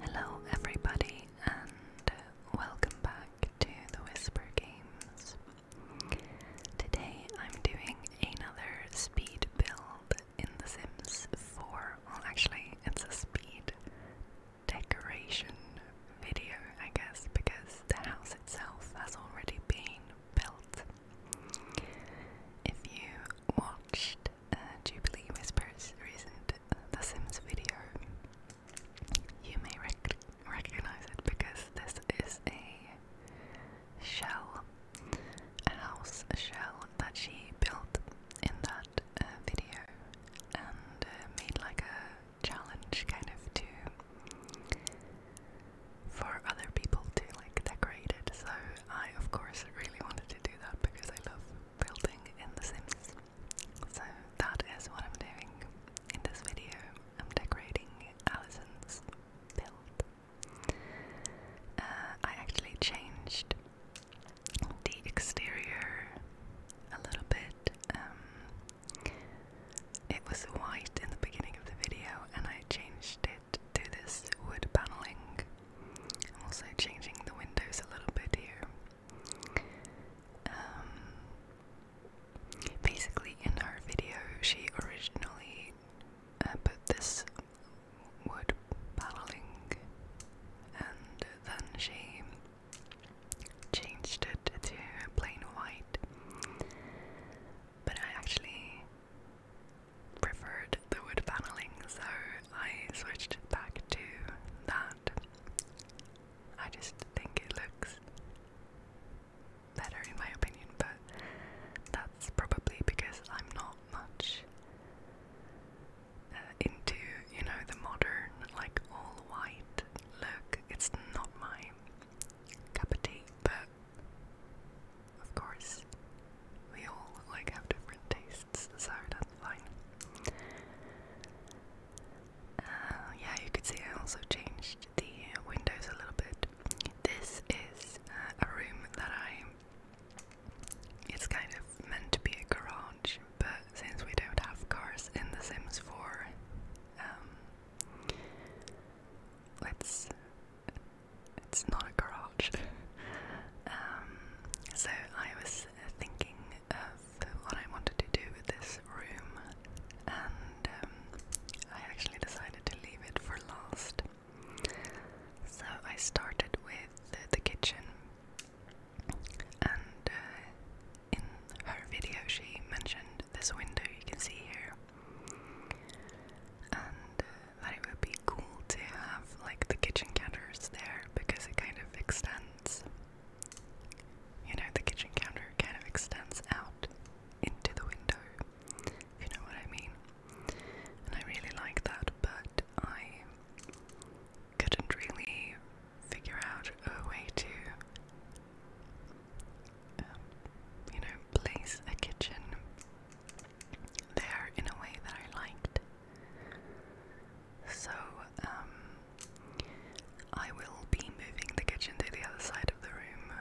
Hello, everybody, and welcome back to the Whisper Games. Today I'm doing another speed build in The Sims 4. Well, actually, it's a speed decoration video, I guess, because the house itself has already been built. If you watched uh, Jubilee Whispers' recent The Sims video, you may recognize it because this is a shell, a house shell that she built in that uh, video and uh, made like a challenge kind of to for other people to like decorate it. So I of course really wanted to do that because I love building in The Sims. So that is what I'm doing in this video. I'm decorating Alison's build. Uh, I actually changed the exterior a little bit. Um, it was white in the beginning of the video, and I changed it to this wood paneling. I'm also changing the windows a little bit here. Um, basically, in her video, she originally uh, put this wood paneling and then she changed it to plain white. But I actually preferred the wood paneling, so I switched back to that. I just think it looks better in my opinion, but that's probably because I'm not much uh, into, you know, the modern, like all white look. It's not my cup of tea, but of course, we all like have different tastes, so that's fine. Uh, yeah, you could see I also changed the windows a little bit. This is uh, a room that I. It's kind of meant to be a garage, but since we don't have cars in The Sims 4, um, It's not a garage. Um, so I was thinking of what I wanted to do with this room, and um, I actually decided to leave it for last. So I started with the kitchen, and uh, in her video, she mentioned this window you can see here, and uh, that it would be cool to have like the kitchen counters there because it kind of extends. You know, the kitchen counter kind of extends out into the window, you know what I mean and I really like that, but I couldn't really figure out a way to, um, you know, place a kitchen there in a way that I liked. So, um, I will be moving the kitchen to the other side of the room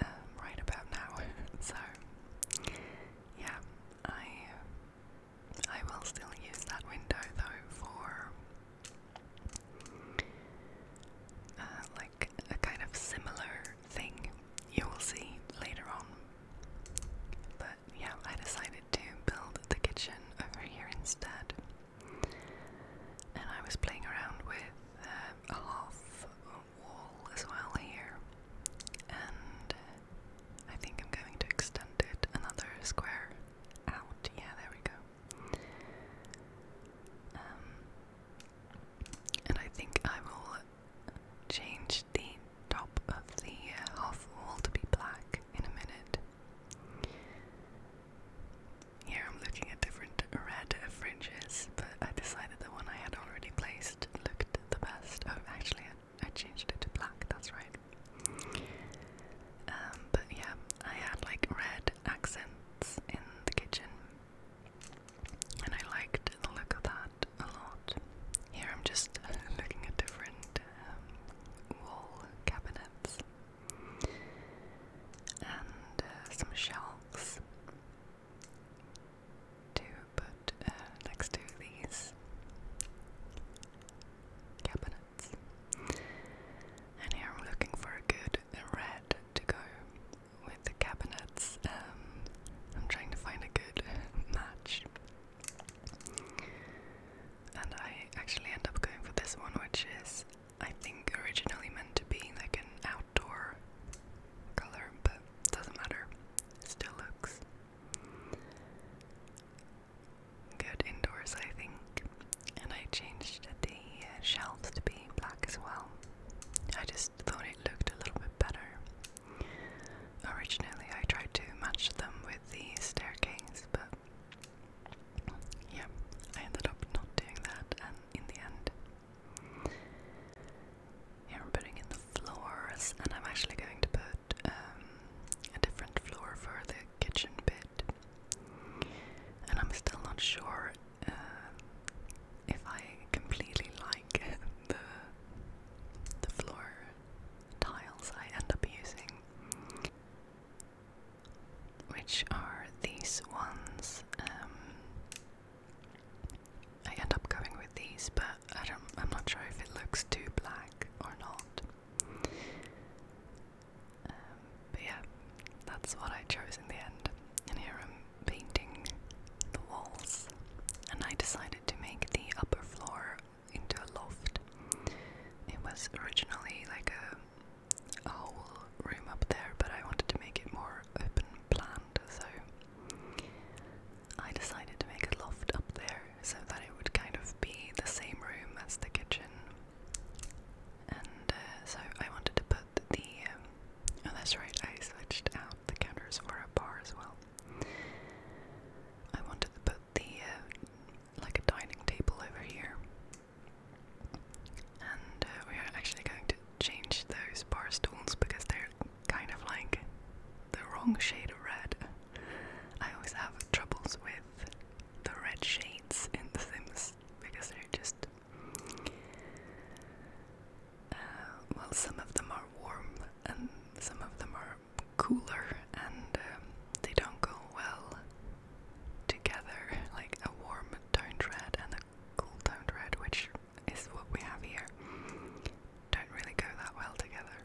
um, right about now. so yeah, I uh, I will still use that window though for uh, like a kind of similar thing you will see later on. But yeah, I decided to build the kitchen over here instead. And I was playing around with um, a half wall as well here, and I think I'm going to extend it another square out. Yeah, there we go. Um, and I think I will change the top of the uh, half wall to be black in a minute. Here I'm looking at different red fringes, but I decided the one I had already placed looked the best. Oh, actually, I, changed it to black, that's right. Um, but yeah, I had like red accents in the kitchen, and I liked the look of that a lot. Here I'm just looking at different um, wall cabinets and uh, some shelves to put uh, next to these cabinets. And here I'm looking for a good red to go with the cabinets. Um, I'm trying to find a good match. And I actually end up going for this one, which is, I think, originally meant to be like an outdoor color, but doesn't matter. still looks good indoors, I think. And I changed the uh, shelves to be black as well. I just thought it looked a little bit better. Originally, I tried to match them with the staircase, but yeah, I ended up not doing that, and in the end, I'm putting in the floors, and I'm actually going to put um, a different floor for the kitchen bit. And I'm still not sure uh, if I completely like the the floor tiles I end up using, which are these ones. Um, I end up going with these, but I don't, I'm not sure if it looks too black or not. Um, but yeah, that's what I chose in the end. And here I'm painting the walls, and I decided to make the upper floor into a loft. It was originally like a, a room up there, but I wanted to make it more open planned, so I decided to make a loft up there so that it would kind of be the same room as the kitchen. And uh, so I wanted to put the. Um, oh, that's right, I switched out the counters for a bar as well. I wanted to put the. Uh, like a dining table over here. And uh, we are actually going to change those bar because they're kind of like the wrong shade of red. I always have troubles with the red shades in The things because they're just. Uh, well, some of them are warm and some of them are cooler and um, they don't go well together. Like a warm toned red and a cool toned red, which is what we have here, don't really go that well together.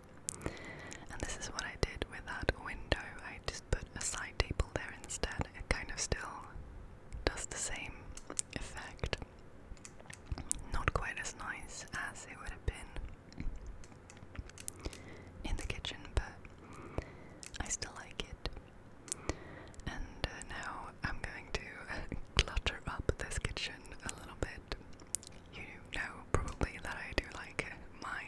And this is what I did with that window. I just put a side table there instead. It kind of still does the same effect. Not quite as nice as it would have been in the kitchen, but I still like it. And uh, now I'm going to clutter up this kitchen a little bit. You know probably that I do like my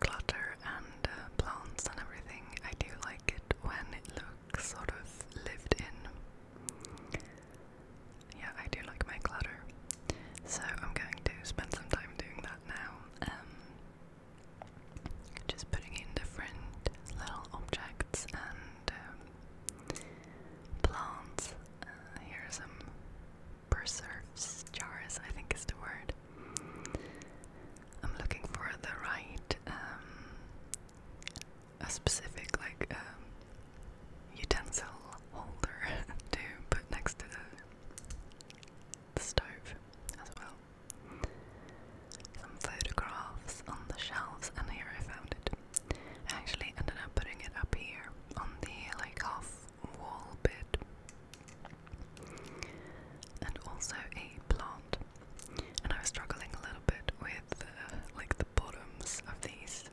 clutter and uh, plants and everything. I do like it when it looks sort of lived in. Yeah, I do like my clutter. So I'm going to spend some time doing that now. Um, just putting in different little objects and um, plants. Uh, here are some preserves jars, I think is the word. I'm looking for the right, um, a specific like um, utensil holder to put next to the stove as well. Some photographs on the shelves, and here I found it. I actually ended up putting it up here on the like half wall bit, and also a plant. And I was struggling a little bit with uh, like the bottoms of these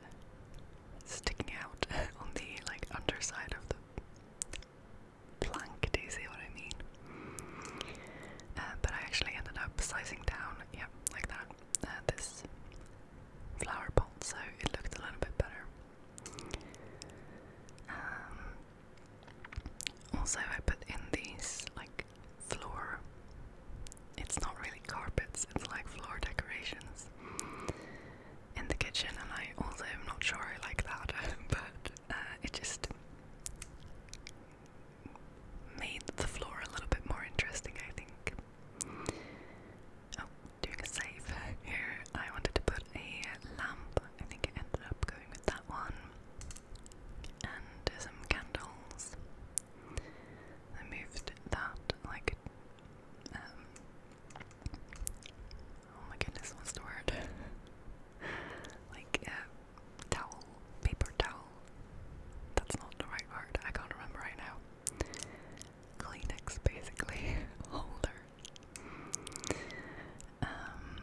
sticking out on the like underside of the plank. Do you see what I mean? Uh, but I actually ended up sizing down, yeah, like that, uh, this flower so it looked a little bit better. Um, also, I put in these like floor. It's not really carpets, it's like floor decorations in the kitchen, and I also am not sure I like that, but uh, it just made the floor a little bit more interesting, I think. Oh, doing a save here. I wanted to put a lamp. I think it ended up going with that one. And some candles. I moved that like um Oh my goodness, what's the word? like uh, towel, paper towel. That's not the right word. I can't remember right now. Kleenex, basically holder. Um,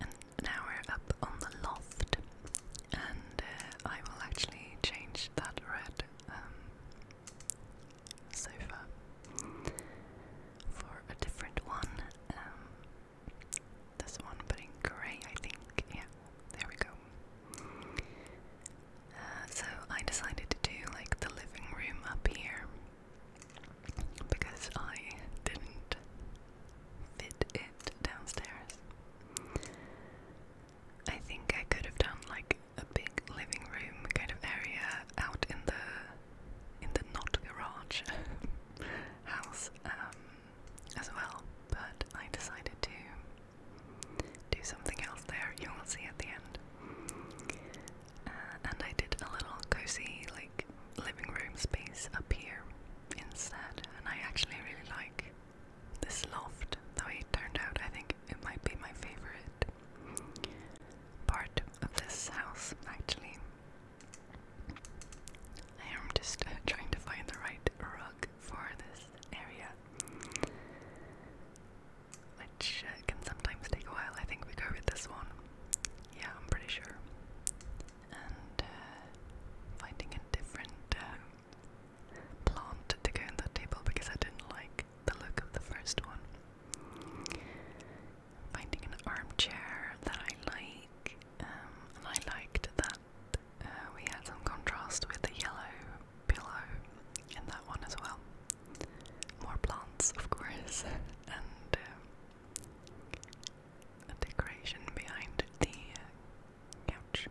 and now we're up on the loft, and uh, I will actually change that red um, sofa for a different one. Um, this one, but in grey, I think. Yeah, there we go. Uh, so I decided to do like the living room up here because I didn't fit it downstairs. I think I could have done like a big living room kind of area out in the in the not garage house. Um, as well, but I decided to do something else there. You will see at the end. Uh, and I did a little cozy, like, living room space up here instead, and I actually really like this loft, though it turned out I think it might be my favorite part of this house, actually. I am just uh, trying to find the right rug for this area, which uh, can sometimes take a while. I think we go with this one. Yeah, I'm pretty sure. And uh, finding a different plant to go in that table because I didn't like the look of the first one. Finding an armchair that I like. Um, and I liked that uh, we had some contrast with the yellow pillow in that one as well. More plants, of course, and uh, a decoration behind the uh, couch.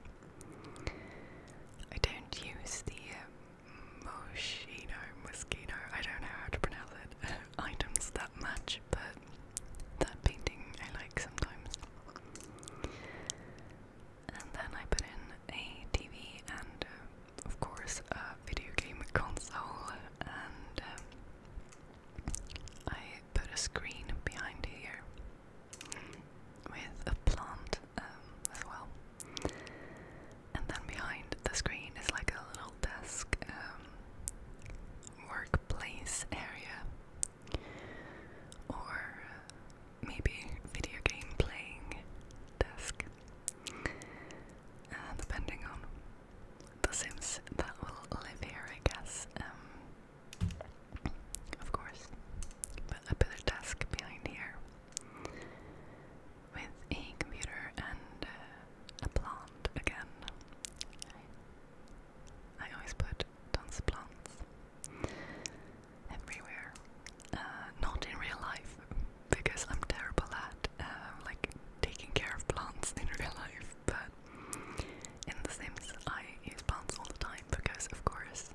I don't use the uh, Moschino, Moschino, I don't know how to pronounce it, items that much, but that painting I like sometimes. And then I put in a TV and, of course, a video game console, and um, I put a screen behind here with a plant um, as well. And then behind the screen is like a little desk um, workplace area or maybe video game playing desk, uh, depending on the Sims that will live here, I guess. Um, of course, but a desk behind here with a computer and uh, a plant again. I always put plants everywhere. Uh, not in real life, because I'm terrible at uh, like taking care of plants in real life. But in The Sims, I use plants all the time because, of course,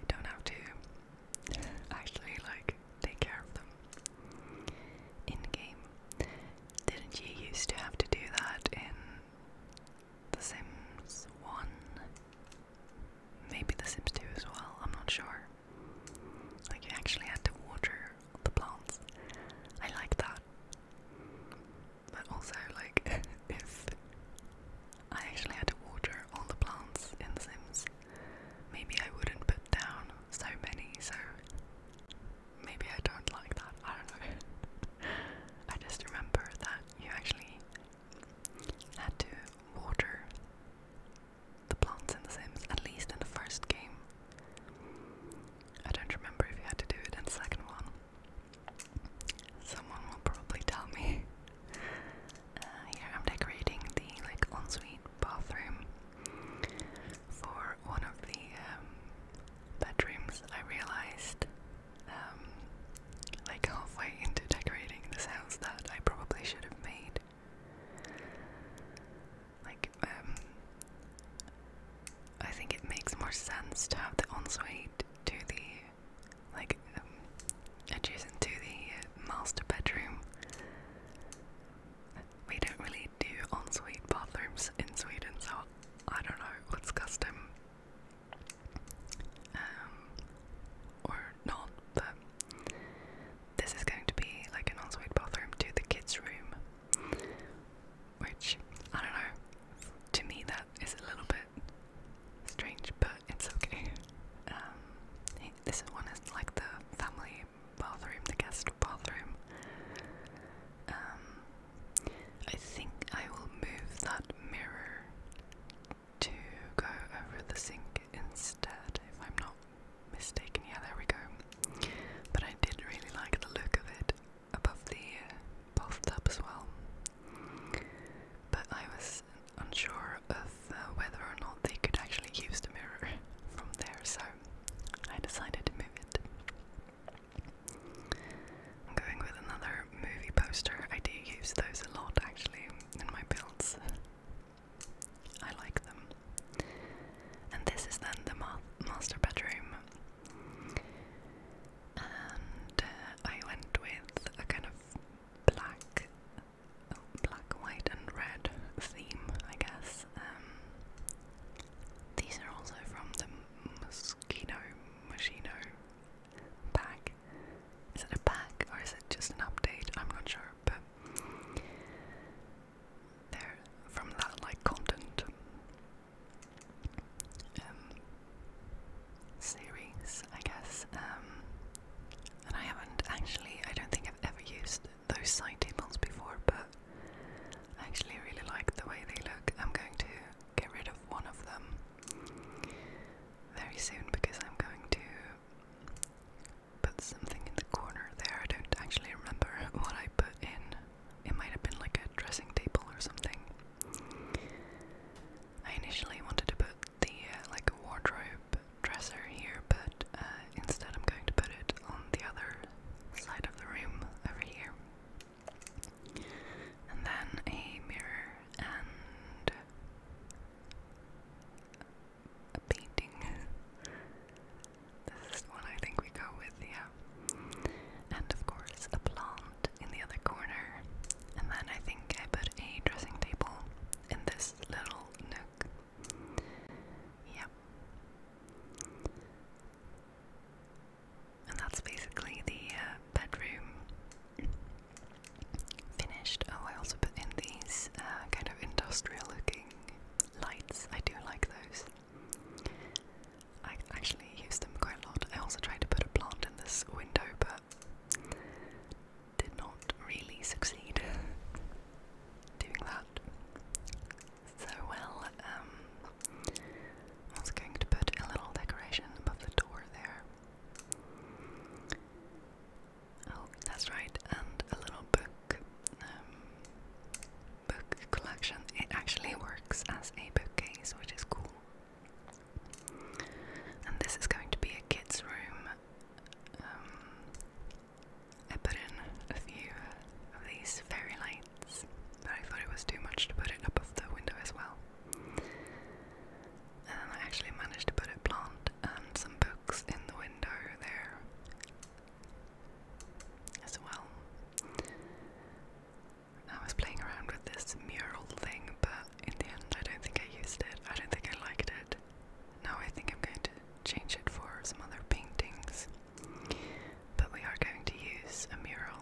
you don't have to actually like take care of them in game. Didn't you used to have to do that in the Sims 1. Maybe The Sims 2 as well, I'm not sure. Like, you actually had to water the plants. I like that. But also, like, if I actually had to water all the plants in The Sims, maybe I wouldn't put down so many, so maybe I don't like that. I don't know. I just remember that you actually had to water the plants in The Sims, at least in the first game. I don't remember if you had to do it in the second one. Someone will probably tell me. Uh, here I'm decorating the like ensuite bathroom for one of the um, bedrooms. I realized um, like halfway into decorating this house that I probably should have made. Like, um, I think it makes more sense to have the ensuite to the, like, um, adjacent to the uh, master bedroom. We don't really do ensuite bathrooms in Sweden, so I don't know what's custom um, or not, but this is going to be like an ensuite bathroom to the kids' room, which I don't know. To me, that is a little bit strange, but it's okay. Um, this one is like the family bathroom, the guest bathroom. Um, I think I will move that mirror to go over the sink instead, if I'm not mistaken. Yeah, there we go. But I did really like the look of it above the uh, tub as well. But I was unsure of uh, whether or not they could actually use the mirror from there, so I decided to move it. I'm going with another movie poster. I do use those a lot actually in my builds. I like them. And this is then the master bedroom. Uh, I went with a kind of black, black, white, and red theme, I guess. Um, these are also from the Kino Machino pack. Is it a pack or is it just an update? I'm not sure, but they're from that like content um, series, I guess. Um, and I haven't actually, I don't think I've ever used those side tables before, but I actually really like the way they look. I'm going to get rid of one of them very soon because I'm going to put something in the corner there. I don't actually remember what I put in. It might have been like a dressing table or something. I initially wanted to put the uh, like a wardrobe dresser here, but uh, instead I'm going to put it on the other side of the room over here. And then a mirror and a painting. this is the one I think we go with, yeah. And of course, a plant in the other corner. And then I think I put a dressing table in this little nook. Yep. And that's basically the uh, bedroom finished. Oh, I also put in these uh, kind of industrial looking lights. I do like those. I actually use them quite a lot. I also tried to put a plant in this window, but did not really succeed doing that so well. Um, I was going to put a little decoration above the door there. Oh, that's right, and a little book, um, book collection. It actually works as a bookcase, which is cool. And this is going to be a kids' room. Um, I put in a few of these fairy light but I thought it was too much to put it up above the window as well. And I actually managed to put it plant and some books in the window there as well. I was playing around with this mural thing, but in the end, I don't think I used it. I don't think I liked it. Now I think I'm going to change it for some other paintings. But we are going to use a mural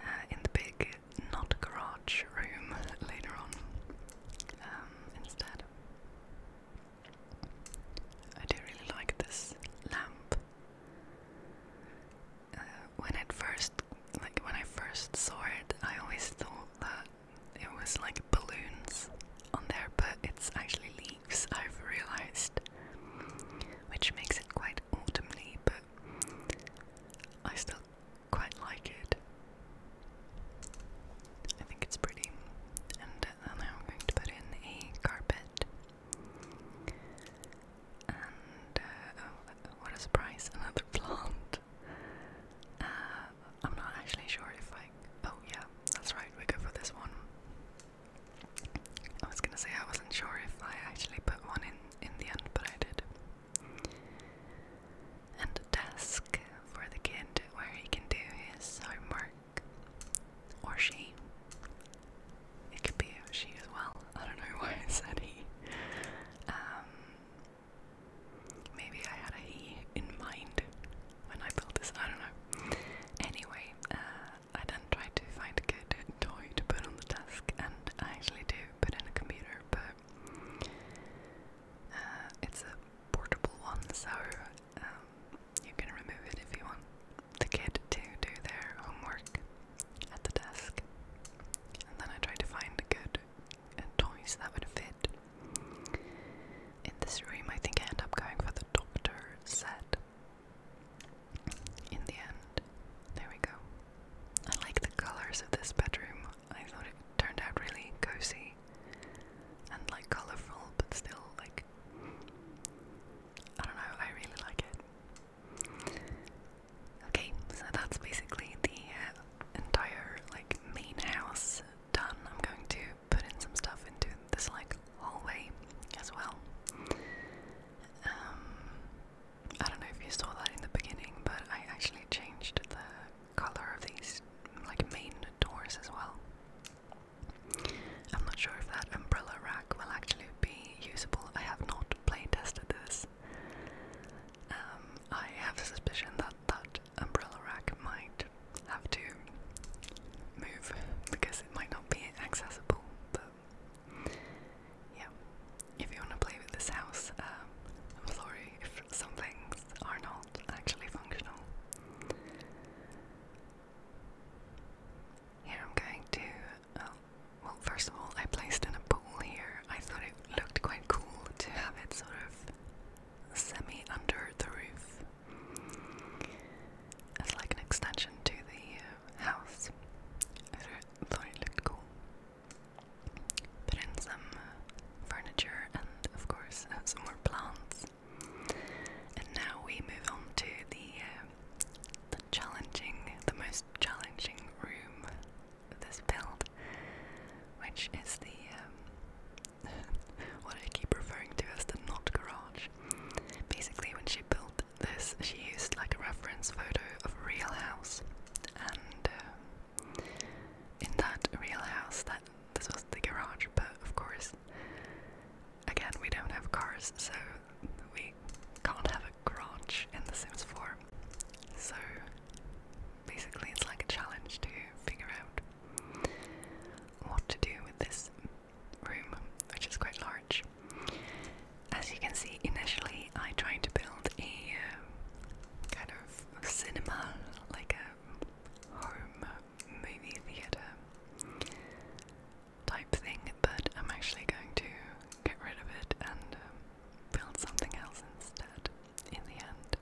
uh, in the big not garage room later on um, instead. I do really like this lamp. Uh, when it first, like when I first saw it, I always thought that it was like balloons on there, but it's actually leaves. I've realized, which makes it quite autumnly, but I still quite like it. I think it's pretty. And uh, I'm going to put in a carpet. And uh, oh, what a surprise, another plant. Uh, I'm not actually sure if I. Oh, yeah, that's right, we go for this one. I was gonna say I wasn't sure if I actually put one in in the end, but I did. And a desk for the kid where he can do his homework. Or she. It could be she as well. I don't know why I said he. Um, maybe I had a he in mind when I built this. I don't know. Anyway, uh, I then try to find a good toy to put on the desk, and I actually do put in a computer, but uh, it's a portable one, so um, you can remove it if you want the kid to do their homework at the desk. And then I try to find good uh, toys that would fit. In this room, I think I end up going for the doctor set in the end. There we go. I like the colors of this bedroom. I thought it turned out really cozy and like colorful, but still like I don't know. I really like it. Okay, so that's basically the uh, entire like main house done. I'm going to put in some stuff into this like hallway as well. Um, I don't know if you saw that in the beginning, but I actually changed the color of these like main doors as well. I'm not sure if that umbrella rack will actually be usable. I have not play tested this. Um, I have a suspicion that that umbrella rack might have to move because it might not be accessible. But yeah, if you want to play with this house, um, I'm sorry if some things are not actually functional. Here I'm going to, uh, well, first of all, I placed in a pool here. I thought it looked quite cool to have it sort of semi under the roof as like an extension to the uh, house thought it looked cool. Put in some uh, furniture and, of course, uh, some more plants. And now we move on to the uh, the challenging, the most challenging room of this build, which is the um, what I keep referring to as the not garage. Basically, when she built this, she used like a reference photo of a real house, and uh, in that real house, that this was the garage, but of course, again, we don't have cars, so we can't have a garage in The Sims 4. So basically, it's like a challenge to figure out what to do with this room, which is quite large. As you can see, initially I tried to build a um, kind of cinema, like a home movie theatre type thing, but I'm actually going to get rid of it and um, build something else instead in the end.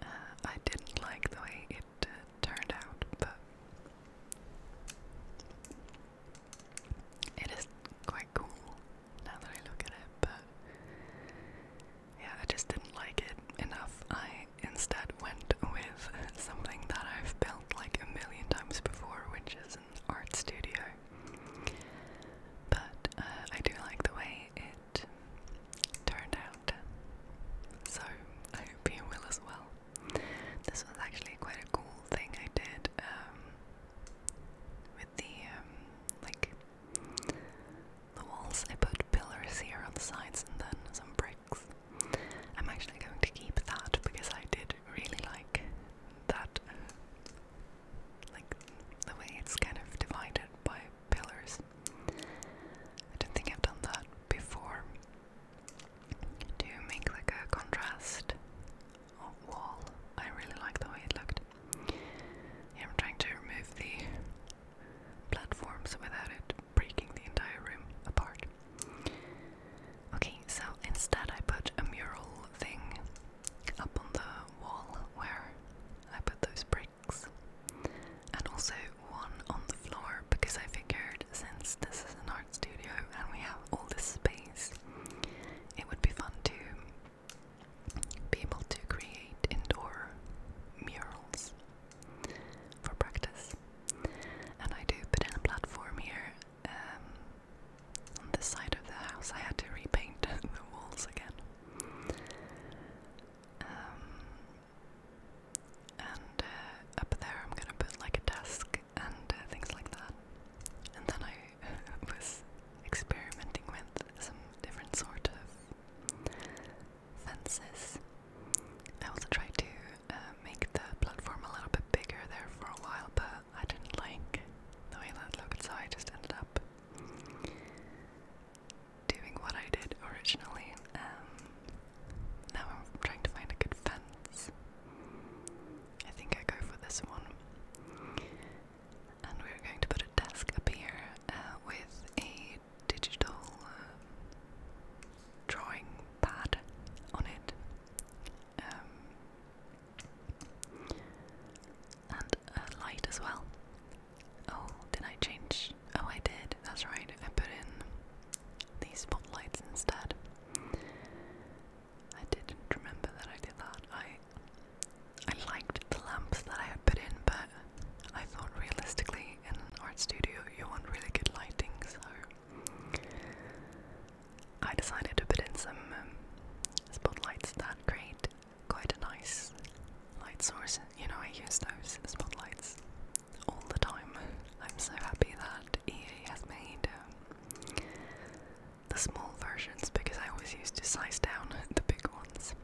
Uh, I didn't like the way it uh, turned out, but it is quite cool now that I look at it, but yeah, I just didn't like it enough. I instead went with something that I've built like a million times before, which is an art studio. But uh, I do like the way it turned out, so I hope you will as well. This was actually quite a cool thing I did um, with the um, like the walls. I put pillars here on the sides and then some bricks. I'm actually going to keep that because I did really like that, uh, like the way it's kind of divided by pillars. I don't think I've done that before. To make like a contrast wall. I really like the way it looked. I'm trying to remove the platforms without it breaking the entire room apart. Okay, so instead I put a mural thing up on the wall where I put those bricks, and also one on the floor because I figured since this is an art studio and we have all this space, it would be fun to be able to create indoor murals for practice. And I do put in a platform here um, on this side of the house. I had to repaint the walls again. Um, and uh, up there, I'm gonna put like a desk and uh, things like that. And then I was experimenting with some different sort of fences. I also tried to uh, make the platform a little bit bigger there for a while, but I didn't like the way that looked, so I just ended up doing what I did originally. Um, now I'm trying to find a good fence. I think I go for this one. And we're going to put a desk up here uh, with a digital uh, drawing pad on it. Um, and a light as well. Oh, did I change? Oh, I did. That's right. I put in these spotlights instead. I didn't remember that I did that. I I liked the lamps that I had put in, but I thought realistically in an art studio you want really good lighting, so I decided to put in some um, spotlights that create quite a nice light source. You know, I use those spotlights all the time. I'm so happy that EA has made um, the small versions because I always used to size down the big ones.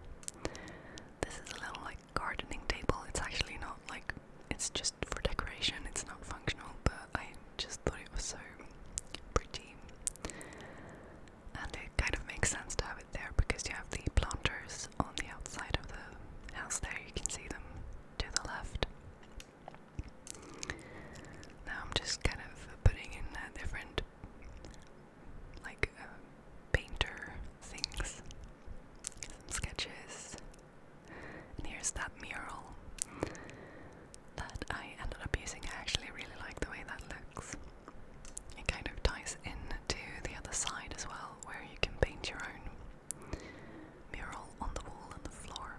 This is a little like gardening table. It's actually not like it's just for decoration, it's not functional, but I just thought it was so pretty. And it kind of makes sense to have it there because you have the planters on the outside of the house there, you can see them to the left. Now I'm just kind of putting in uh, different, like, uh, painter things, some sketches, here's that mural that I ended up using. I actually really like the way that looks. It kind of ties in to the other side as well, where you can paint your own mural on the wall and the floor.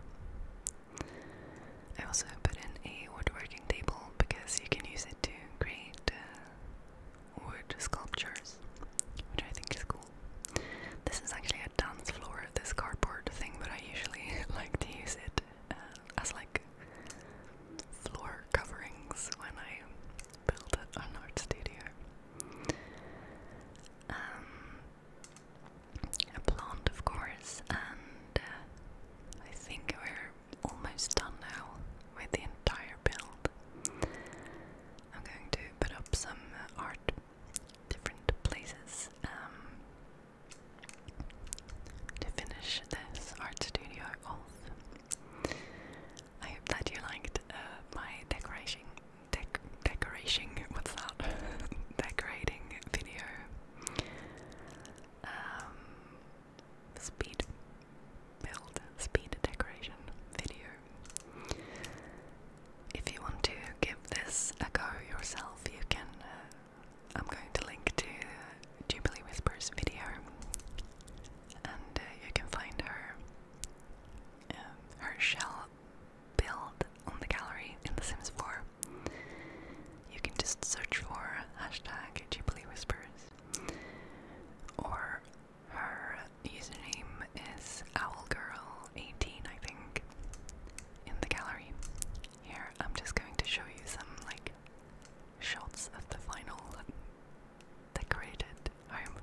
I also put in a woodworking table because you can use it to create uh, wood sculptures, which I think is cool. This is actually a dance floor, this cardboard thing, but I usually like to use it uh, as like floor coverings when I build an art studio. Um, a plant, of course, and uh, I think we're almost done now with the entire build. I'm going to put up some art, different places, um, to finish this art studio off. I hope that you liked uh, my decoration, dec decoration, what's that? decorating video. Um, speed build, speed decoration video. If you want to give this a go yourself, you can. Uh, I'm going to link to Jubilee Whispers video, and uh, you can find her, um, her shell build on the gallery in The Sims 4. You can just search for hashtag or her username is owlgirl18, I think, in the gallery. Here, I'm just going to show you some like shots of the final decorated home.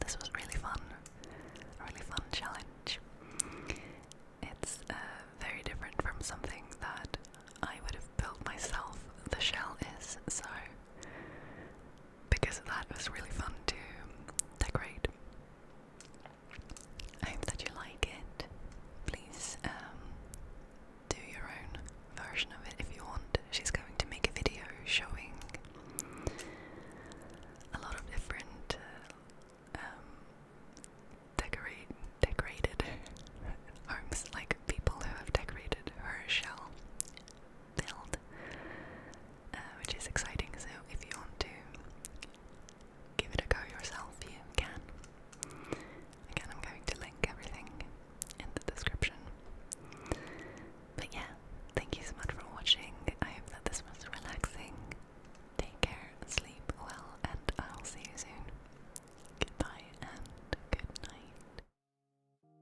This was really fun, really fun challenge. It's uh, very different from something that I would have built myself, the shell is, so because of that, it was really fun to decorate. I hope that you like it. Please um, do your own version of it if you want. She's going to make a video showing a lot of different uh, um, decorate decorated homes, like people who have decorated her shell build, uh, which is exciting. So if you want to give it a go yourself, you can. Again, I'm going to link everything in the description. But yeah, thank you so much for watching. I hope that this was relaxing Take care, sleep well, and I'll see you soon. Goodbye and good night.